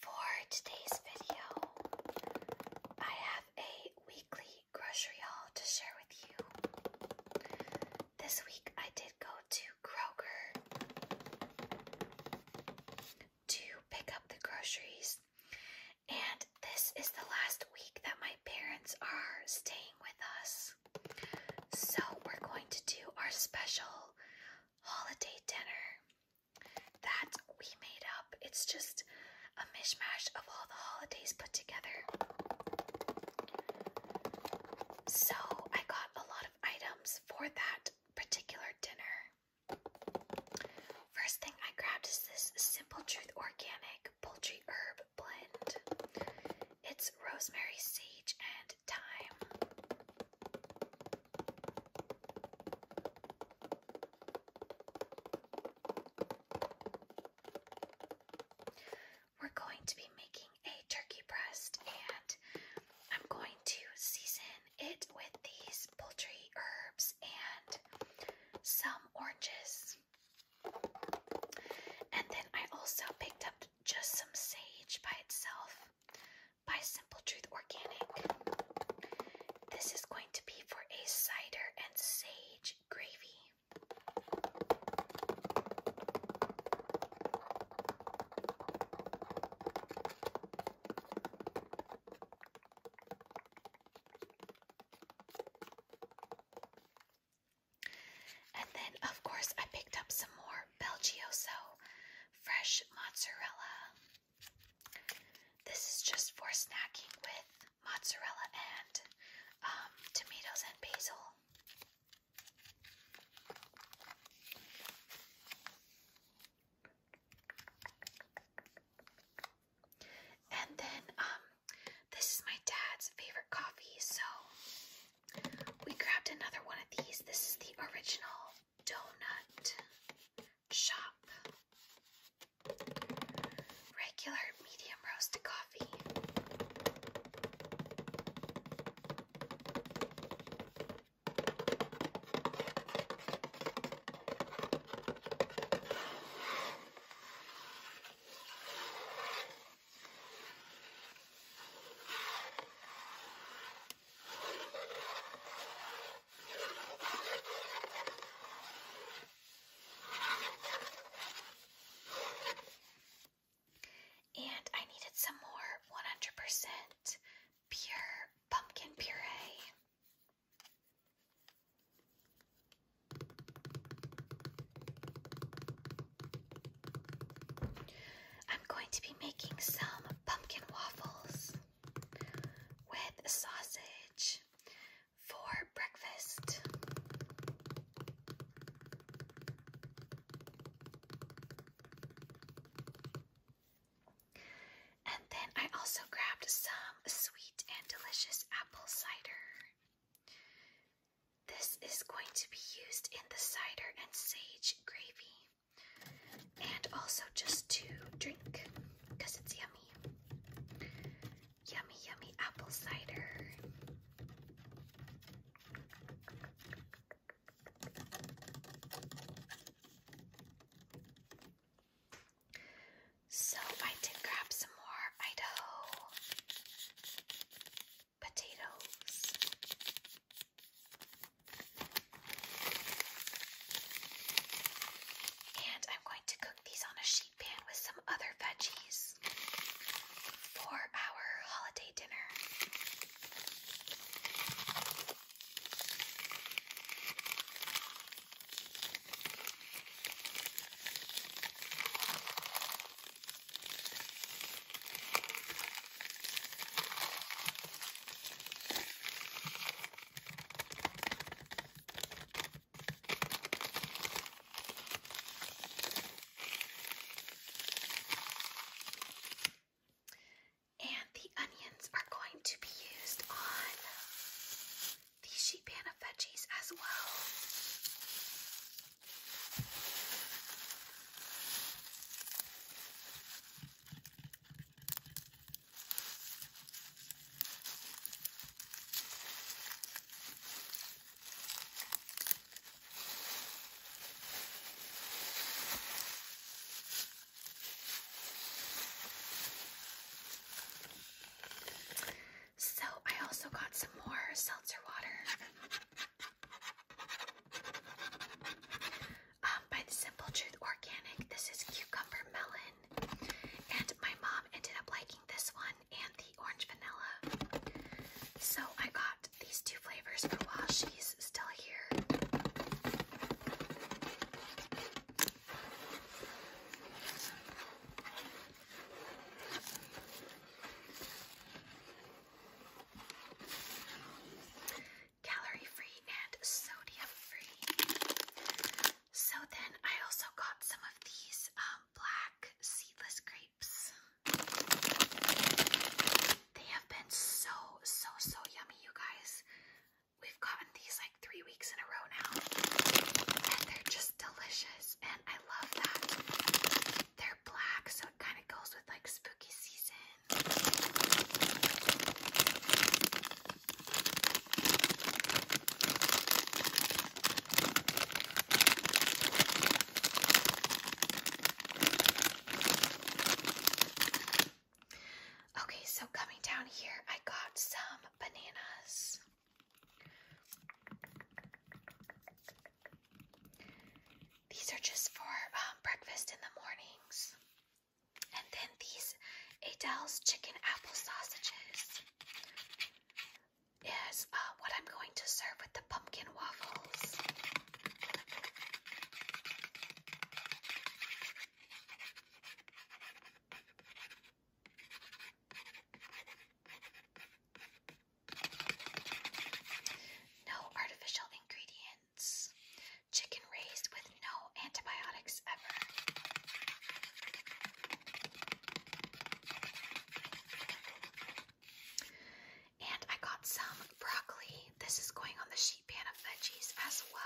for today's video, I have a weekly grocery haul to share with you. This week I did go to Kroger to pick up the groceries, and this is the last week that my parents are staying with us. So, we're going to do our special holiday dinner that we made up. It's just a mishmash of all the holidays put together. So I got a lot of items for that particular dinner. First thing I grabbed is this Simple Truth Organic Poultry Herb Blend. It's rosemary, sage, and thyme. We're going to be making a turkey breast and I'm going to season it with these poultry herbs and some oranges. And then I also picked up just some sage by itself by Simple Truth Organic. This is going to be for a cider and sage gravy. And then, of course, I picked up some more Belgioso fresh mozzarella. This is just for snacking with mozzarella and um, tomatoes and basil. And then, um, this is my dad's favorite coffee, so we grabbed another one of these. This is the original donut shop. Regular medium roasted coffee. And I needed some more 100% pure pumpkin puree. I'm going to be making some pumpkin waffles with sausage for breakfast. And then I also grabbed some sweet and delicious apple cider. This is going to be used in the cider and sage gravy and also just to drink because it's yummy. Yummy, yummy apple cider. So I did grab some more Idaho potatoes and I'm going to cook these on a sheet pan with some other veggies for our holiday dinner. And the onions are going to be used on the sheet pan of veggies as well. So, I also got some more seltzer water. Um, by the Simple Truth Organic. This is cucumber melon. And my mom ended up liking this one and the orange vanilla. So I got these two flavors for while she's still here calorie free and sodium free. So then I also got some of these um, black seedless grapes. They have been so, so, so yummy, you guys. We've gotten these like three weeks in a row now. And they're just delicious. And I love that. They're black, so it kind of goes with like spooky season. Okay, so coming down here, I got some bananas. These are just for um, breakfast in the mornings. And then these Adele's chicken apple sausages is uh, what I'm going to serve with the pumpkin waffles. No artificial ingredients. Chicken raised with no antibiotics ever. And I got some broccoli. This is going on the sheet pan of veggies as well.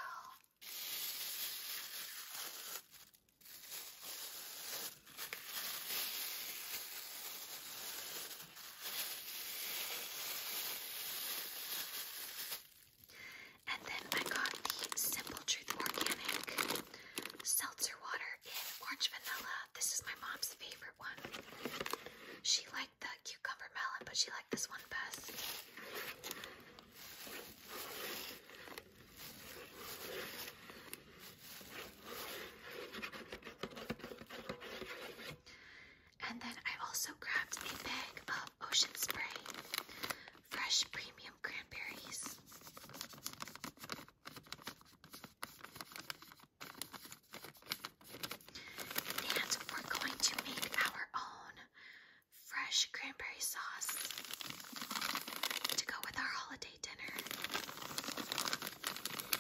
And then I got the Simple Truth Organic Seltzer Water in Orange Vanilla. This is my mom's favorite one. She liked the cucumber melon, but she liked this one best. And then I also grabbed a bag of Ocean Spray fresh premium cranberries. And we're going to make our own fresh cranberry sauce to go with our holiday dinner.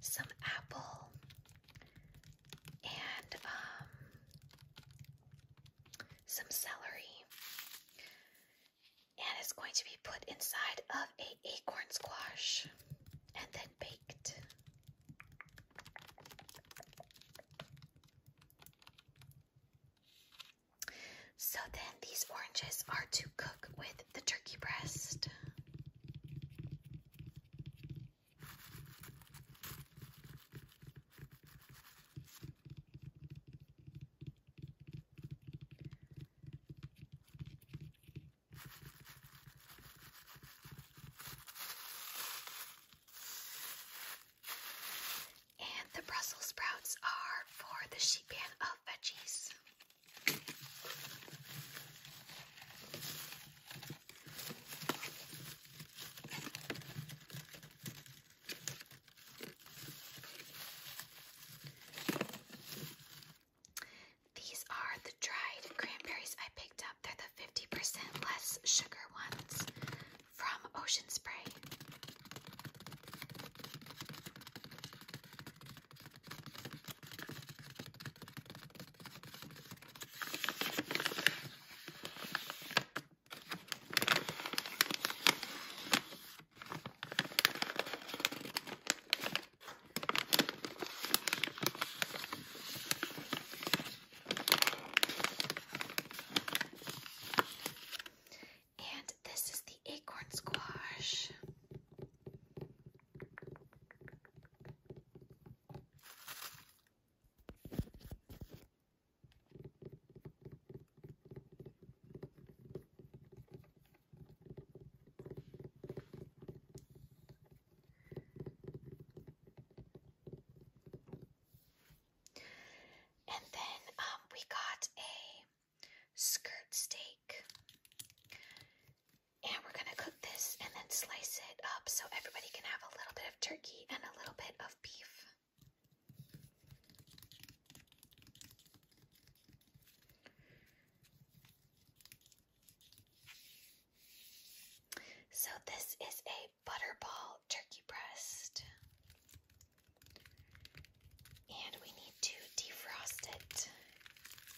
some apple and um, some celery. And it's going to be put inside of a acorn squash and then baked. So then these oranges are to cook with the turkey breast. And the Brussels sprouts are for the sheet pan of veggies. These are the dried cranberries I picked up. They're the 50% less sugar ones from Ocean Spray. And this is the acorn squash. And then um, we got a skirt steak and we're going to cook this and then slice it up so everybody can have a little bit of turkey and a little bit of beef. So this is a butterball turkey breast. And we need to defrost it.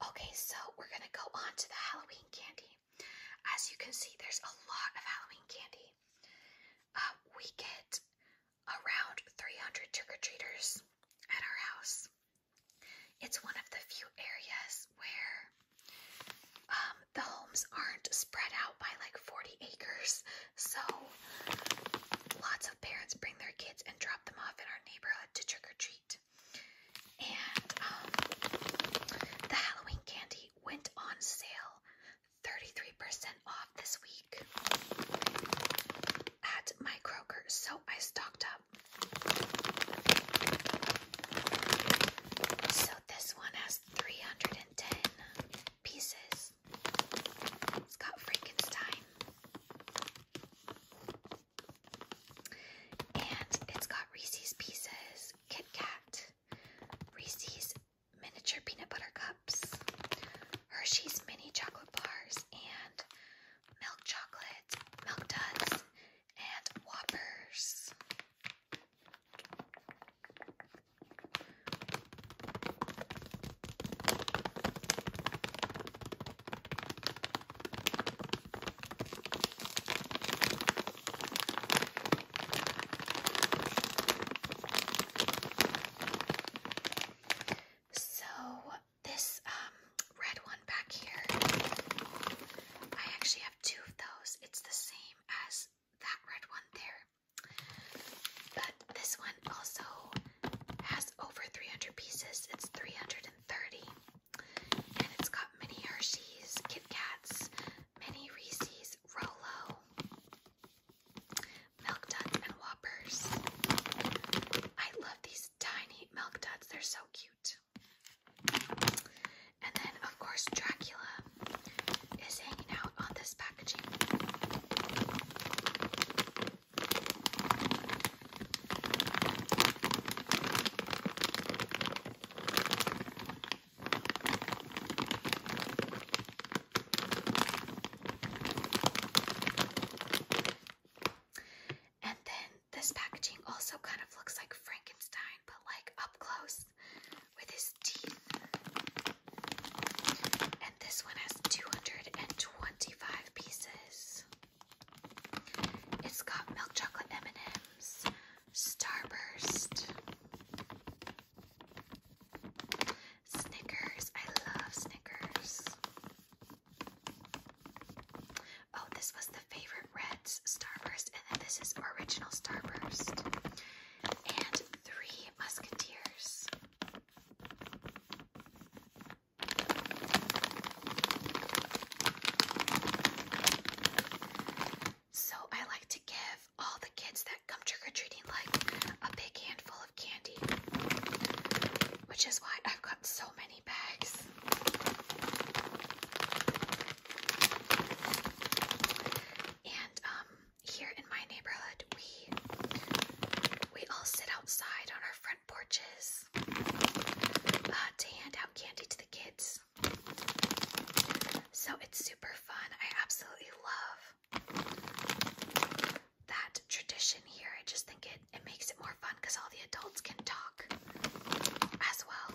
Okay, so we're gonna go on to the Halloween candy. As you can see, there's a lot of Halloween candy. Uh, we get around 300 trick or treaters at our house. It's one of the few areas where um, the homes aren't spread out by like 40 acres, so Lots of parents bring their kids and drop them off in our neighborhood to trick or treat. And um, the Halloween candy went on sale 33% off this week at my Kroger, so I stocked up. So this one has 310 pieces. It's got Frankenstein. And it's got Reese's Pieces, Kit Kat, Reese's Miniature Peanut Butter Cups, Hershey's Mini Chocolate Bars, and milk chocolates, milk duds, and whoppers. So this um, red one back here, I actually have two of those. It's the same as that red one there. But this one also has over 300 pieces. It's 330. And it's got mini Hershey's, Kit Kats, mini Reese's, Rolo, Milk Duds, and Whoppers. I love these tiny Milk Duds. They're so cute. And then, of course, Dracula is hanging out on this packaging. And then this packaging also kind of looks like Frankenstein, but like up close, with his teeth. And this one has 225 pieces. It's got milk chocolate M&M's, Starburst, Snickers. I love Snickers. Oh, this was the favorite Red's Starburst, and then this is original Starburst. And three Musketeers. So I like to give all the kids that come trick-or-treating like a big handful of candy, which is why I've got so many bags. And um here in my neighborhood, we we all sit outside on our front porches uh, to hand out candy to the kids. So it's super fun. I absolutely love that tradition here. I just think it it makes it more fun because all the adults can talk as well.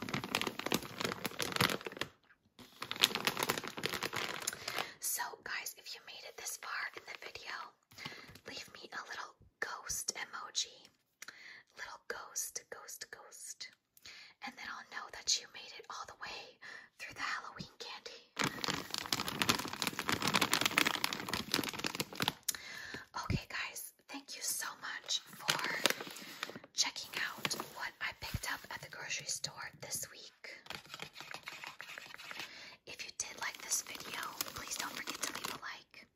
So, guys, if you made it this far in the video, leave me a little ghost emoji. Little ghost, ghost, ghost. And then I'll know that you made it all the way through the Halloween candy. Okay, guys, thank you so much for checking out what I picked up at the grocery store this week. If you did like this video, please don't forget to leave a like.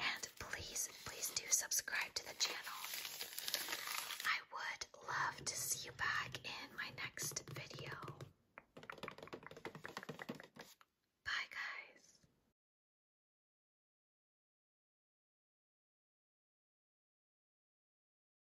And please, please do subscribe to the channel. I would love to see you back in my next video. Bye, guys.